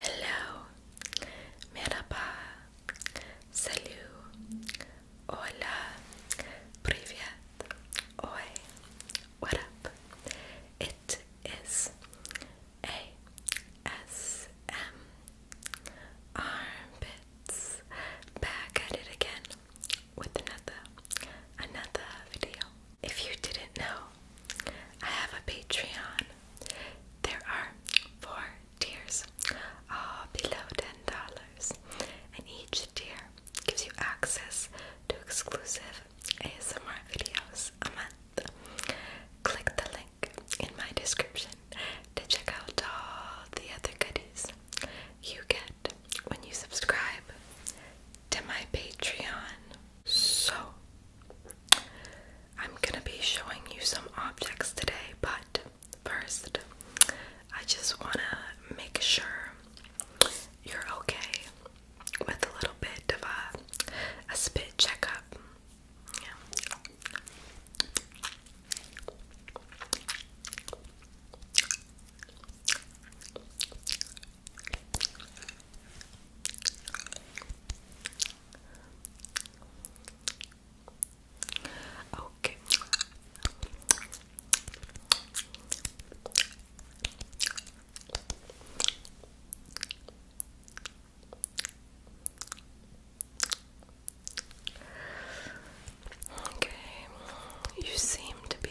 Hello, merhaba, salut, hola, privyet, oi, what up? It is ASM Armpits back at it again with another, another video. If you didn't know, I have a Patreon. There are four tiers, all uh, below $10, and each tier gives you access to exclusive ASMR videos a month. Click the link in my description to check out all the other goodies you get when you subscribe to my Patreon. So, I'm gonna be showing you some objects today, but first, I just wanna make sure you're okay with a little bit of a, a spit checkup. Yeah. Okay. Okay, you seem to be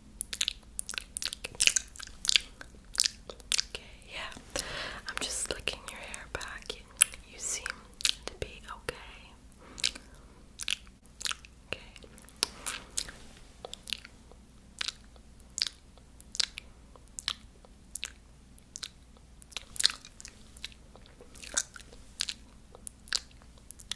Okay, yeah. I'm just slicking your hair back. You, you seem to be okay. Okay. Okay.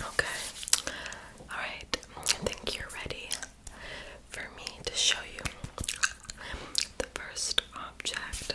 Okay. Alright, I think you're ready for me to show you the first object.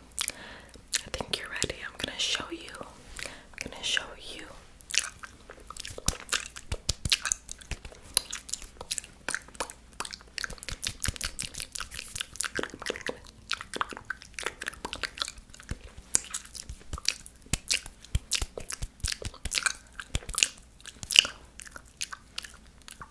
I think you're ready. I'm gonna show you. I'm gonna show you.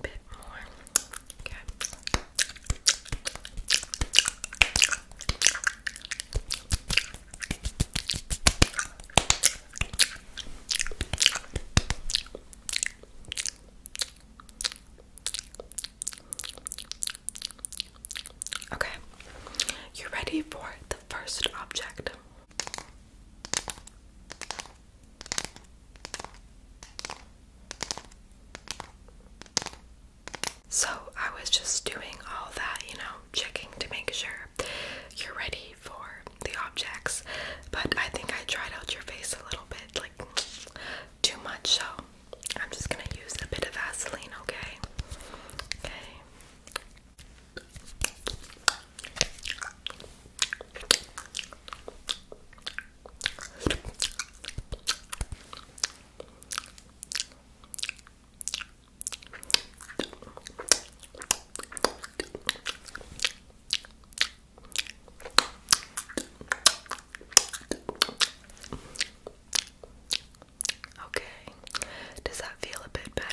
Okay. Okay, you're ready for the first object. So I was just doing all that, you know, checking to make sure you're ready for the objects, but I think I tried out your face a little bit, like too much, so I'm just gonna use a bit of Vaseline, okay? Okay. Okay, does that feel a bit better?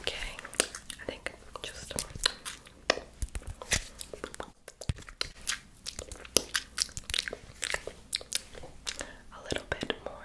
Okay, I think just a little bit more.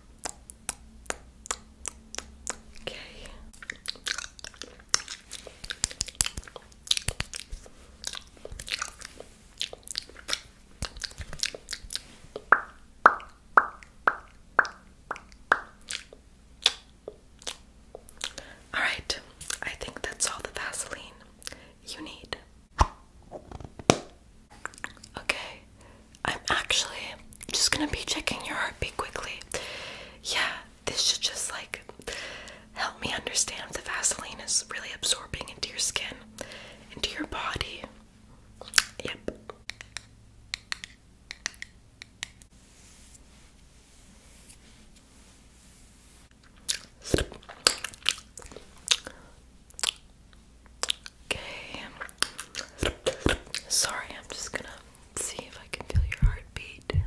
Okay. All right. I think that's all the Vaseline you need. Okay, I'm actually just gonna be checking your heartbeat quickly. Yeah, this should just like help me understand if the Vaseline is really absorbing into your skin, into your body. Yep. Okay. Sorry, I'm just gonna see if I can feel your heartbeat. Okay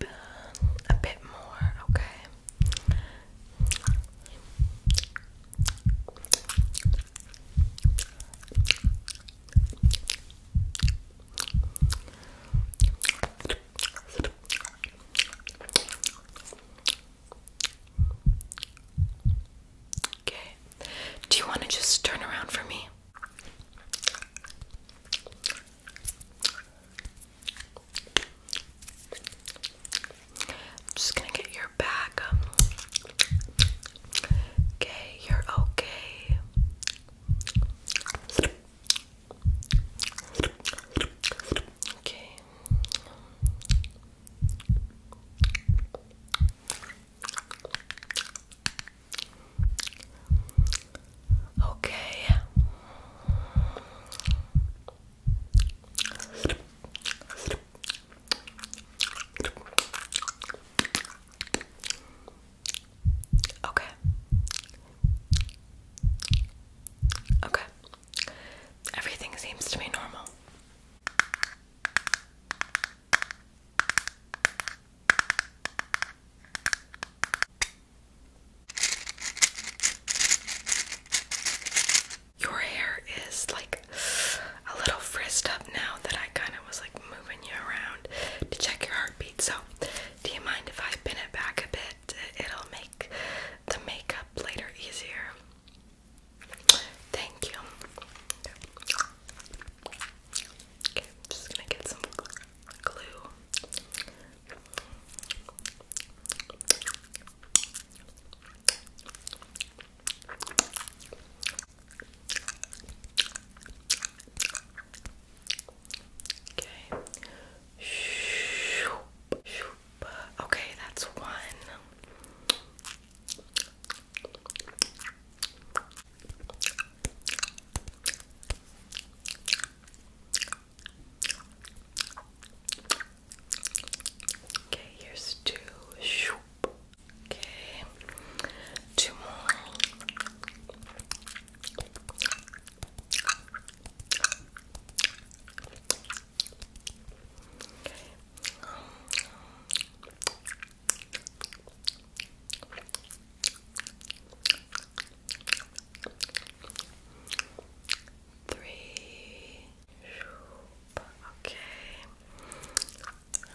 a bit more, okay? Okay. Do you want to just turn around for me? just gonna get your back. Okay, you're okay. Okay. Okay. Okay. Okay. Everything seems to be normal. Your hair is like a little frizzed up now that I kind of was like moving you around to check your heartbeat. So, do you mind if I pin it back a bit? It'll make the makeup later easier. Thank you. Okay, just gonna get some glue. Okay. Okay, that's one. Okay, here's two. Okay, two more. Okay. Three. Okay.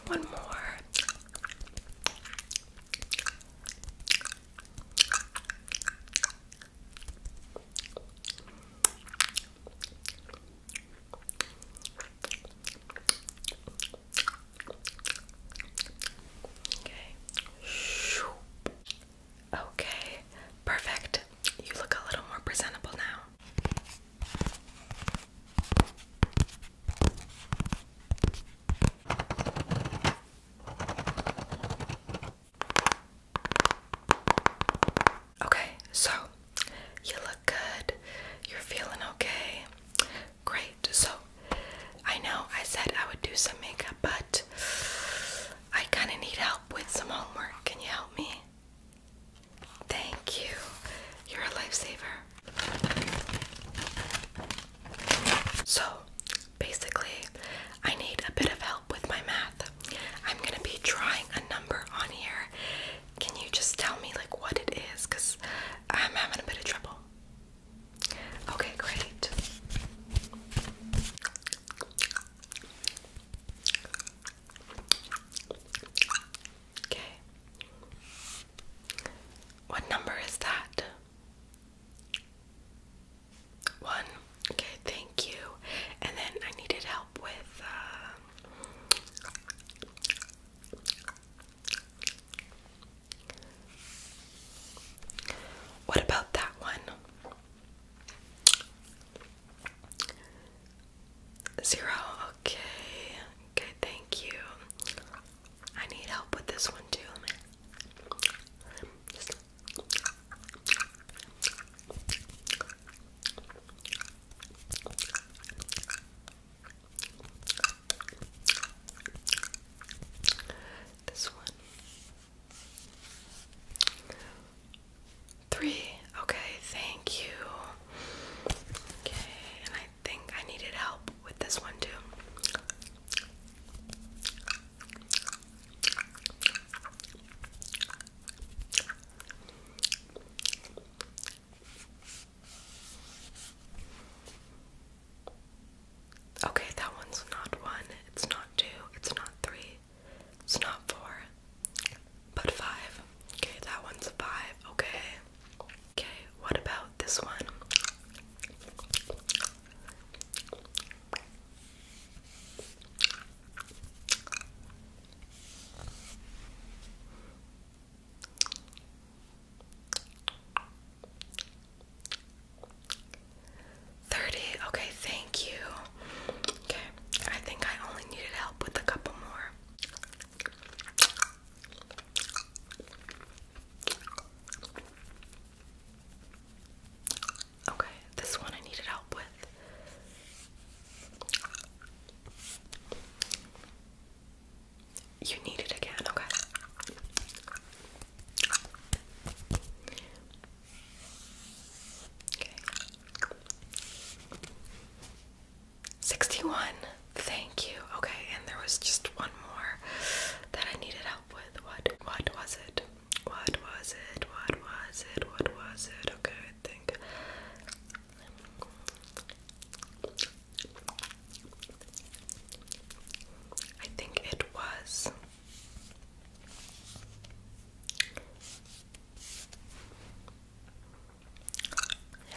One more. Okay. Okay. Perfect. You look a little more presentable now. Okay, so you look good. You're feeling okay. Great. So I know I said I would do some makeup, but I kind of need help with some homework. Can you help me? Thank you. You're a lifesaver. So basically, I need a bit of help with my math. I'm going to be drawing a number on here. Can you just tell me like what it is? Because I'm having a bit of trouble. Okay, great. Okay. What number is that? One. Okay, thank you. And then I needed help with. Uh, what about that one? Zero. Okay. Okay, thank you. I need help with this one too. This one. Three. Okay, thank you. Okay, and I think I needed help with this one too. Okay, that one's not one, it's not two, it's not three, it's not four, but five. Okay, that one's a five, okay. Okay, what about this one? 30. Okay, thank you. Okay, I think I only needed help with a couple more. Okay, this one I needed help with. You need it again, okay? 61. Thank you. Okay, and there was just one more that I needed help with. What what was it? What was it? What was it? What was it? Okay, think I think it was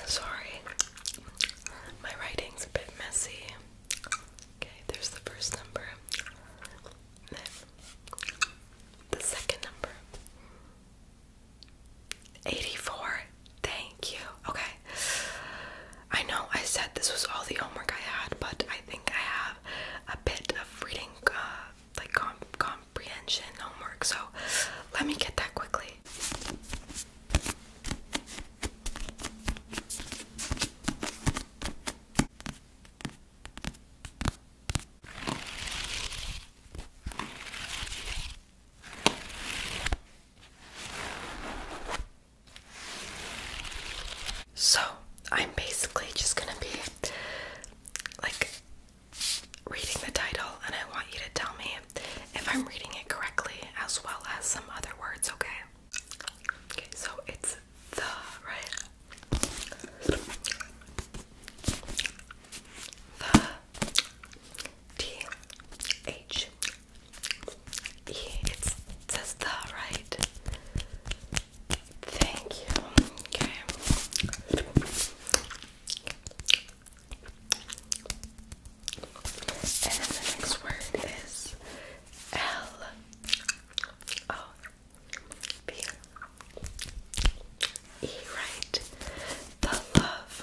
Sorry, my writing's a bit messy. Okay, there's the first number. Then the second number. 84. Thank you. Okay. I know I said this was all the homework I had, but I think I have a bit of reading, uh, like comprehension homework, so let me get that quickly. So, I'm basically just gonna be like reading the title, and I want you to tell me if I'm reading it correctly as well as some other words, okay? Okay, so it's the, right? T H E. It says the right. Thank you. Okay. And then the next word is L O oh, B E. Right. The love.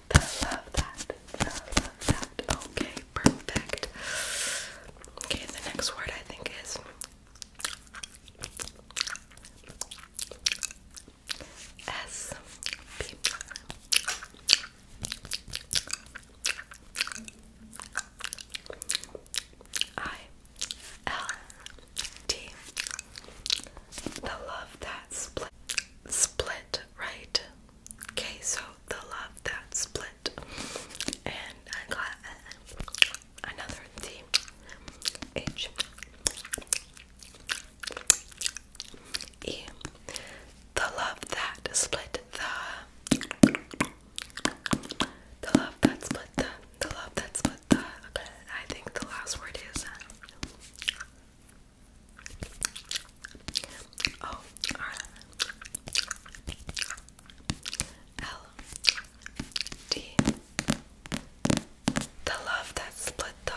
I love that. I love that. Okay, perfect. Okay, the next word I think is S P I L T. I love that split. Split split, right? Okay, so the love that split, and I got uh, another T H E. The love that split the. The love that split the. The love that split the. Okay, I think the last word is. Uh, O oh, R L D. The love that split the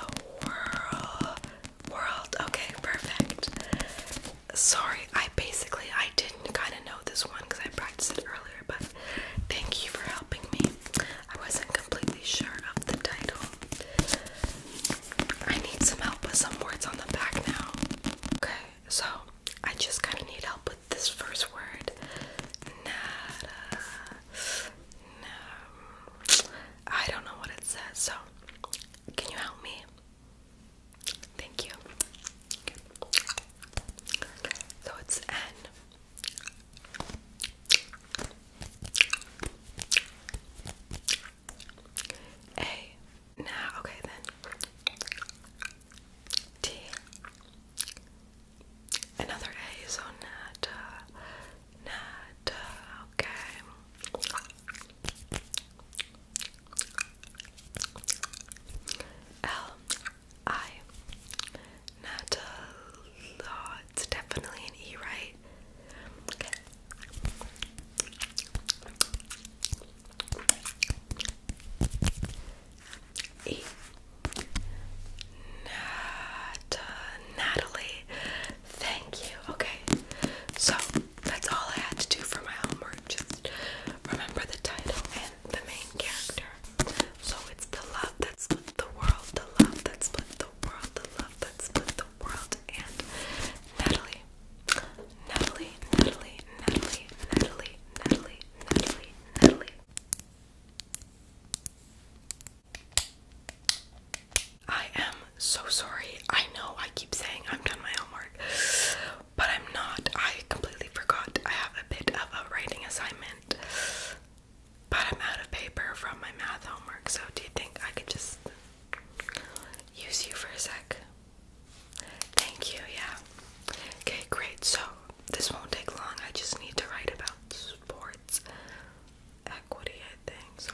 world. World. Okay, perfect. Sorry, I basically I didn't kind of know this one because I practiced it earlier, but thank you for helping me. I wasn't completely sure of the title. I need some help with some words on the back now. Okay, so I just kind of need help with this first word. Nada. No. I don't know what it says, so can you help me? Thank you. Okay. So it's N. A. okay then. T. Another A, so not, uh, uh okay. L. I. it's definitely an E, right? Natalie, thank you. Okay, so that's all I had to do for my homework. Just remember the title and the main character. So it's the love that split the world, the love that split the world, the love that split world and Natalie, Natalie, Natalie, Natalie, Natalie, Natalie, Natalie, Natalie. I am so sorry. I know I keep saying I've done my homework, but I'm not. I completely forgot. I have a bit of a writing assignment but I'm out of paper from my math homework, so do you think I could just use you for a sec? Thank you, yeah. Okay, great. So this won't take long. I just need to write about sports equity, I think. So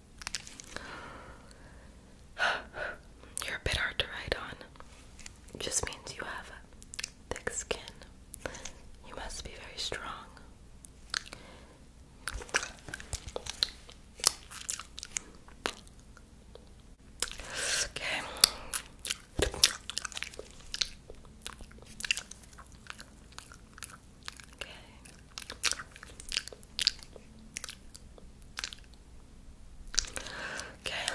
You're a bit hard to write on. It just means you have thick skin. You must be very strong. Okay. Okay. Okay.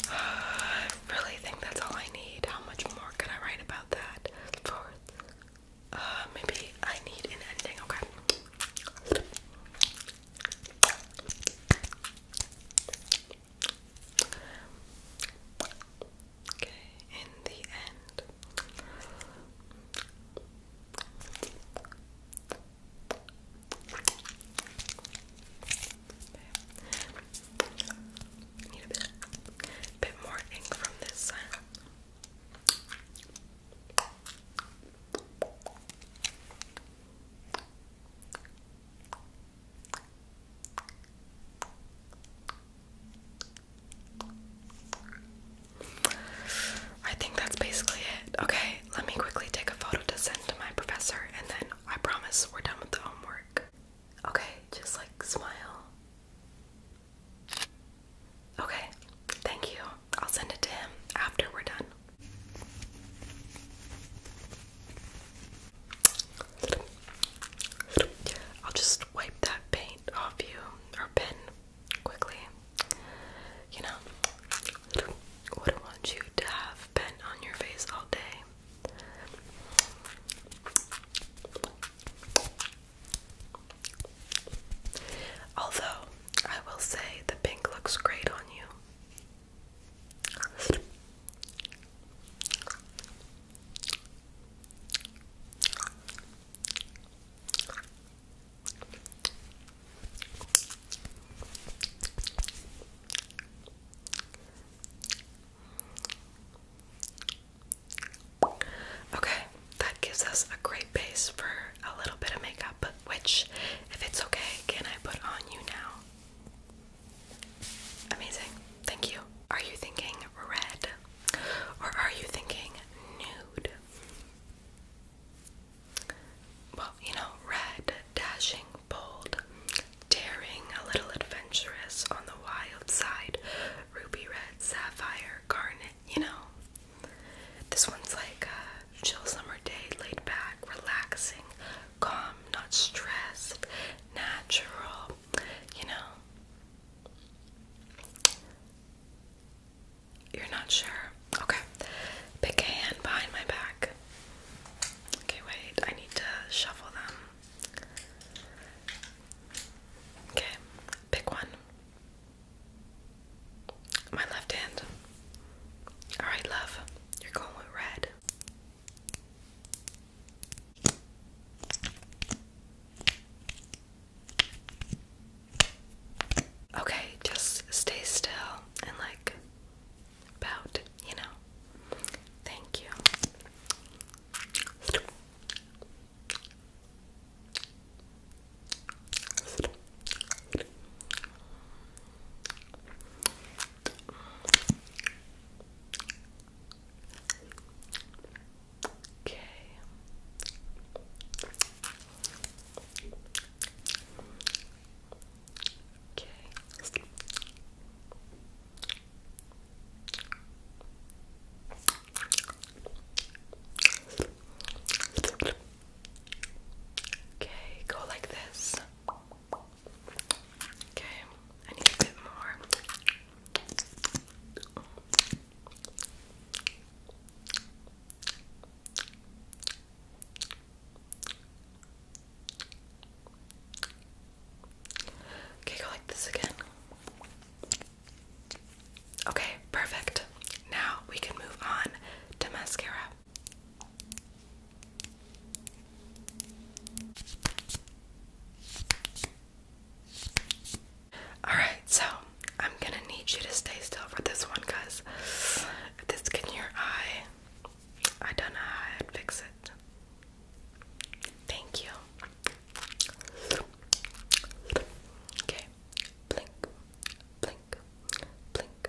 I really think that's all I need. How much more could I write about that? For uh, maybe I need an ending. Okay. Okay, in the end. Need a bit, bit more ink from this side. I think that's basically it. Okay, let me quickly take a photo to send to my professor and then I promise we're done with the homework. Okay, just like smile. Okay, thank you. I'll send it to him after we're done. I'll just wipe that paint off you or pen quickly. You know, wouldn't want you to have pen on your face all day. Although I will say the pink looks great on you. Okay, that gives us a great base for a little bit of makeup, which, if it's okay, can I put on you now? Amazing. Thank you. Are you thinking red or are you thinking nude? Well, you know, red, dashing, bold, daring, a little adventurous on the wild side, ruby red, sapphire, garnet, you know. This one's like a chill summer day, laid back, relaxing, calm, not stressed, natural, you know. You're not sure? Okay. Pick a hand behind my back. Okay, wait, I need to shuffle them. Okay, pick one. My left hand. Alright, love. You're going with red. Okay, just stay still and like pout, you know. Thank you. Okay. Okay. Okay, go like this. Okay, I need a bit more. Okay, go like this again. Okay, perfect. Now we can move on to mascara. Alright, so I'm gonna need you to stay still for this one because if this gets your eye, I don't know how i fix it. Thank you. Okay, blink, blink, blink,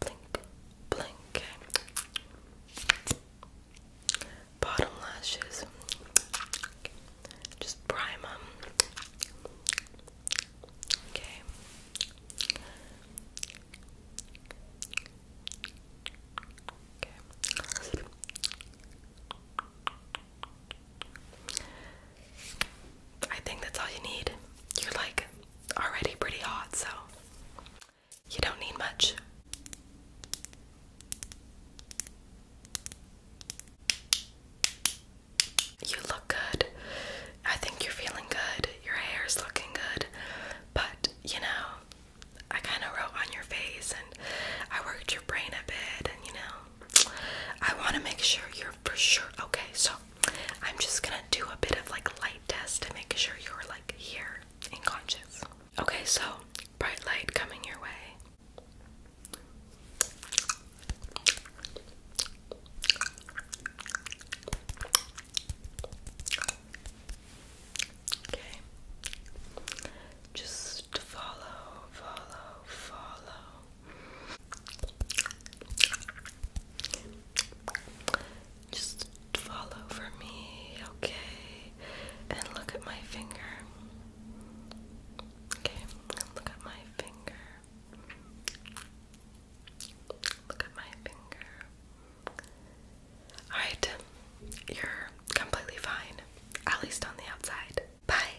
blink, blink. Bottom lashes, just prime them. Okay. Okay. I think that's all you need. You're like already pretty hot, so you don't need much. You look good. I think you're feeling good. Your hair's looking good. But, you know, I kind of wrote on your face and I worked your brain a bit, and you know, I want to make sure you're for sure okay. So, I'm just gonna do a bit of like light test to make sure you're like here and conscious. Okay, so bright light coming your way. Okay. Just follow, follow, follow. Just follow for me, okay? And look at my finger. Okay, look at my finger. Look at my finger. Alright, you're completely fine, at least on the outside. Bye.